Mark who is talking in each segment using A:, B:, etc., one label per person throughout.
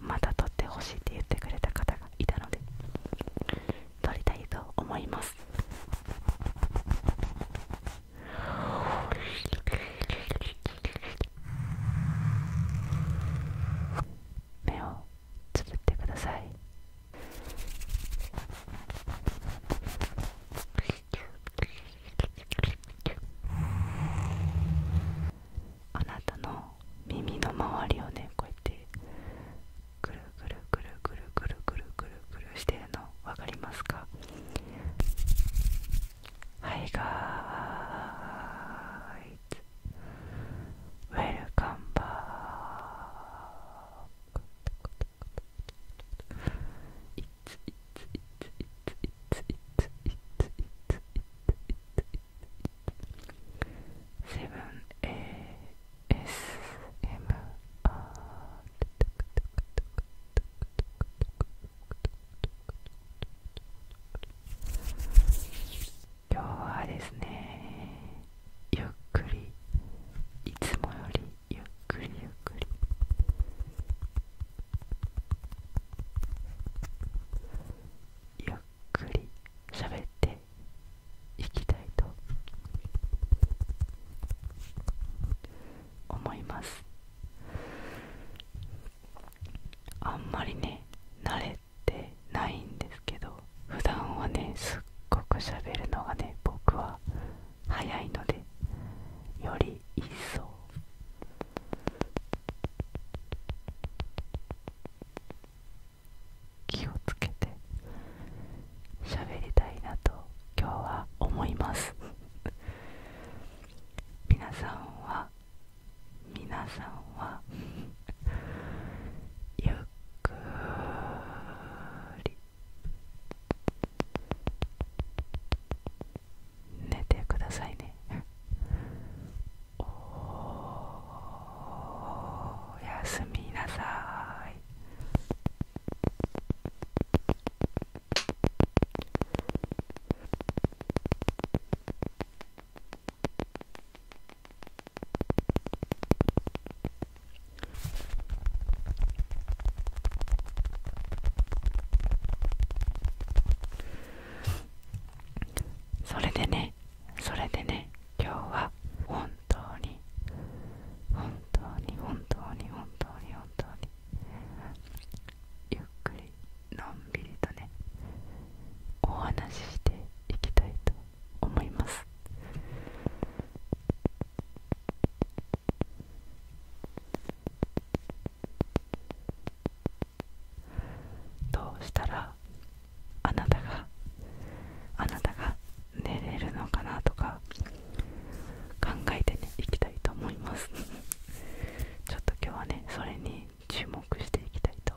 A: また撮ってほしいって言ってくれた方がいたので撮りたいと思います目をつぶってくださいあなたの耳の周りをねこうやってぐるぐるぐるぐるぐるぐるぐるぐるしてるの分かりますかはいガーイズウェルカムバー一今日はですねゆっくりいつもよりゆっくりゆっくりゆっくり喋っていきたいと思いますあんまりね慣れてないんですけど普段はねすっごく喋るのがね僕は早いのでより一層気をつけて喋りたいなと今日は思います 皆さんは皆さんはゆっくり寝てくださいねおやすみなさいそれでねそれでね今日は本当に本当に本当に本当に本当にゆっくりのんびりとねお話ししていきたいと思いますどうしたらあなたがあなたが寝れるのかなとか考えていきたいと思います ちょっと今日はねそれに注目していきたいと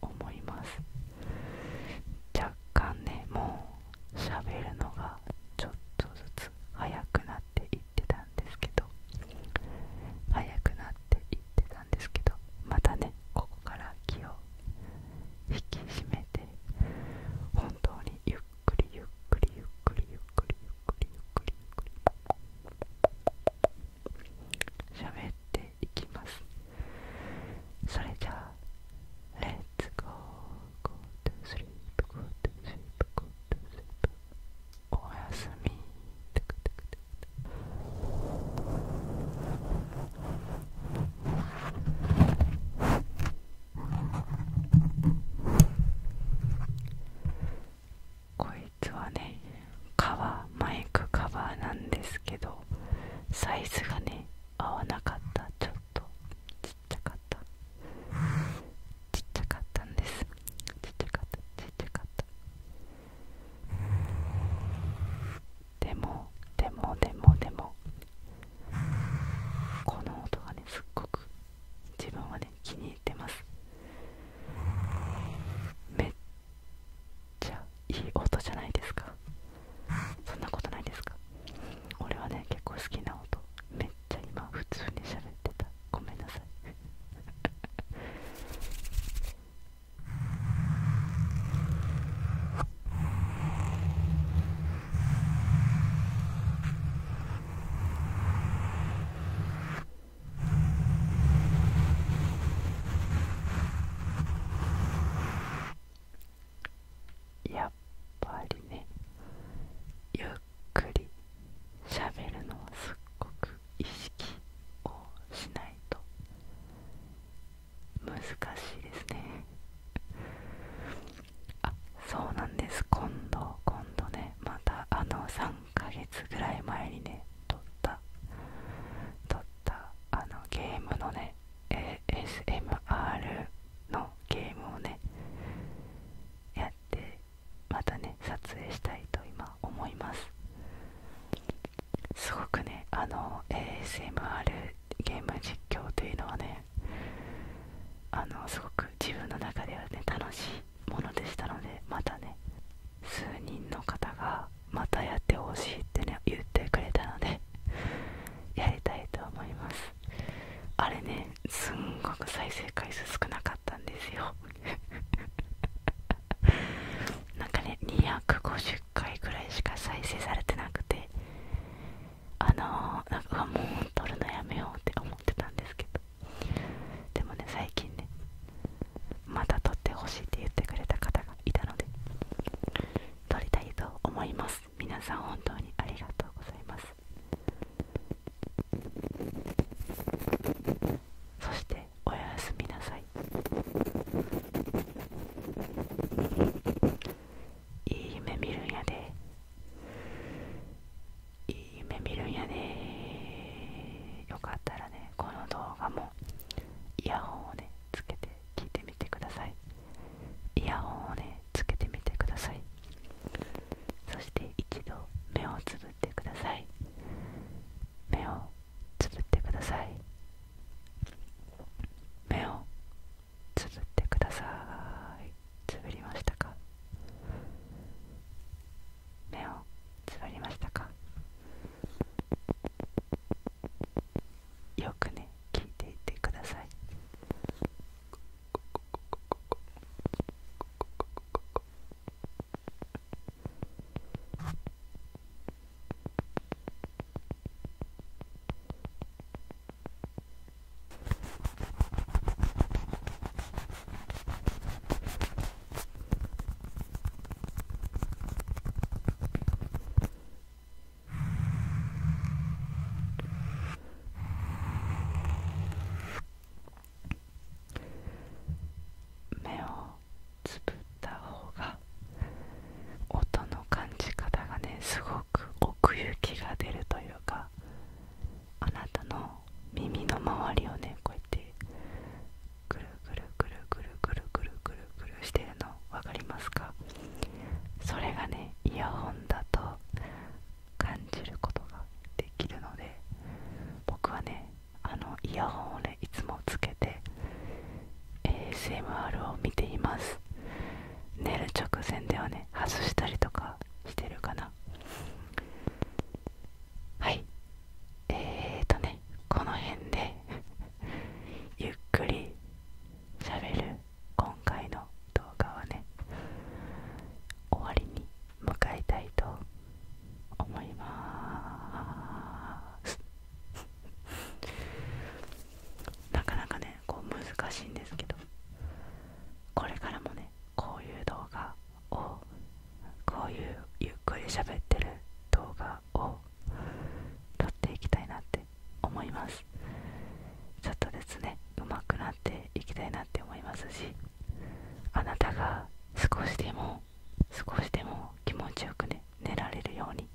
A: 思います若干ねもう喋るのがちょっとずつ早くなっていってたんですけど早くなっていってたんですけどまたねここから気を引き締めて本当にゆっくりゆっくりゆっくりゆっくりゆっくりゆっくりゆっくり喋っっていきますそれじゃあ Let's go go to sleep go to sleep go to sleep おやすみテクテクテクこいつはねカバーマイクカバーなんですけどサイズがね合わなかったちょっとちっちゃかったちっちゃかったんですちっちゃかったちっちゃかったでもでもでもでもこの音がねすっごく自分はね気に入ってますめじゃあいい音じゃないですかそんなことないですか俺はね結構好きな音めっちゃ今普通に喋ってたごめんなさい やっぱりねゆっくりしゃべるのはすっごく意識をしないと難しいですねあそうなんです今度今度ねまたあの3ヶ月ぐらい前にね撮った撮ったあのゲームのね ASMR のゲームをねやってまたね撮影したいと今思いますすごくねあの ASMR ゲーム実況というのはねあのすごく自分の中ではね楽しいものでしたのでまたね数人の方がまたやってほしいってね言ってくれたので やりたいと思いますあれねすんごく再生回数少なかったんですよ なんかね250回ぐらいしか再生されてなくてあのー、なんかもう撮るのやめようって思ってたんですけどでもね最近ねまた撮ってほしいって言ってくれた方がいたので撮りたいと思います皆さん本当にありがとうございますそしておやすみなさいいい夢見るんやでいい夢見るんやねよかったらねこの動画もイヤホンをねつけて聞いてみてくださいイヤホンをねつけてみてくださいそして一度目をつぶってください目をつぶってください目をつぶってくださいつぶりましたか目をつぶりましたかよくね聞いていてください目をつぶった方が音の感じ方がねすごく。奥行きが出るというかあなたの耳の周りをねこうやってぐるぐるぐるぐるぐるぐるぐるぐるしてるの分かりますかそれがねイヤホンだと感じることができるので僕はねあのイヤホンをねいつもつけて ASMR を見ています寝る直前ではね外したりとかしてるかなはいえーとねこの辺でゆっくりしゃべる今回の動画はね終わりに向かいたいと思いますなかなかねこう難しいんですけどこれからもねこういう動画をこういうゆっくり喋ってる動画を撮っていきたいなって思いますちょっとですね上手くなっていきたいなって思いますしあなたが少しでも少しでも気持ちよくね寝られるように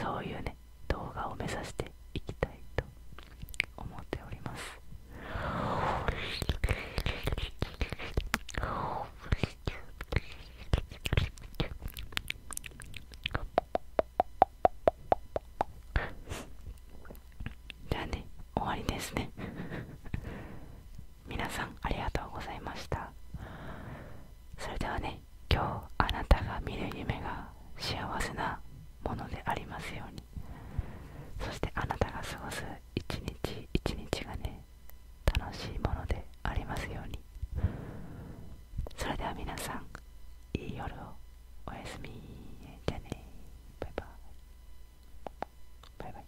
A: そういうね動画を目指していきたいと思っておりますじゃあね終わりですね皆さんありがとうございましたそれではね今日あなたが見る夢が幸せなものでありますようにそしてあなたが過ごす一日一日がね楽しいものでありますようにそれでは皆さんいい夜をおやすみじゃあねバイバイバイバイ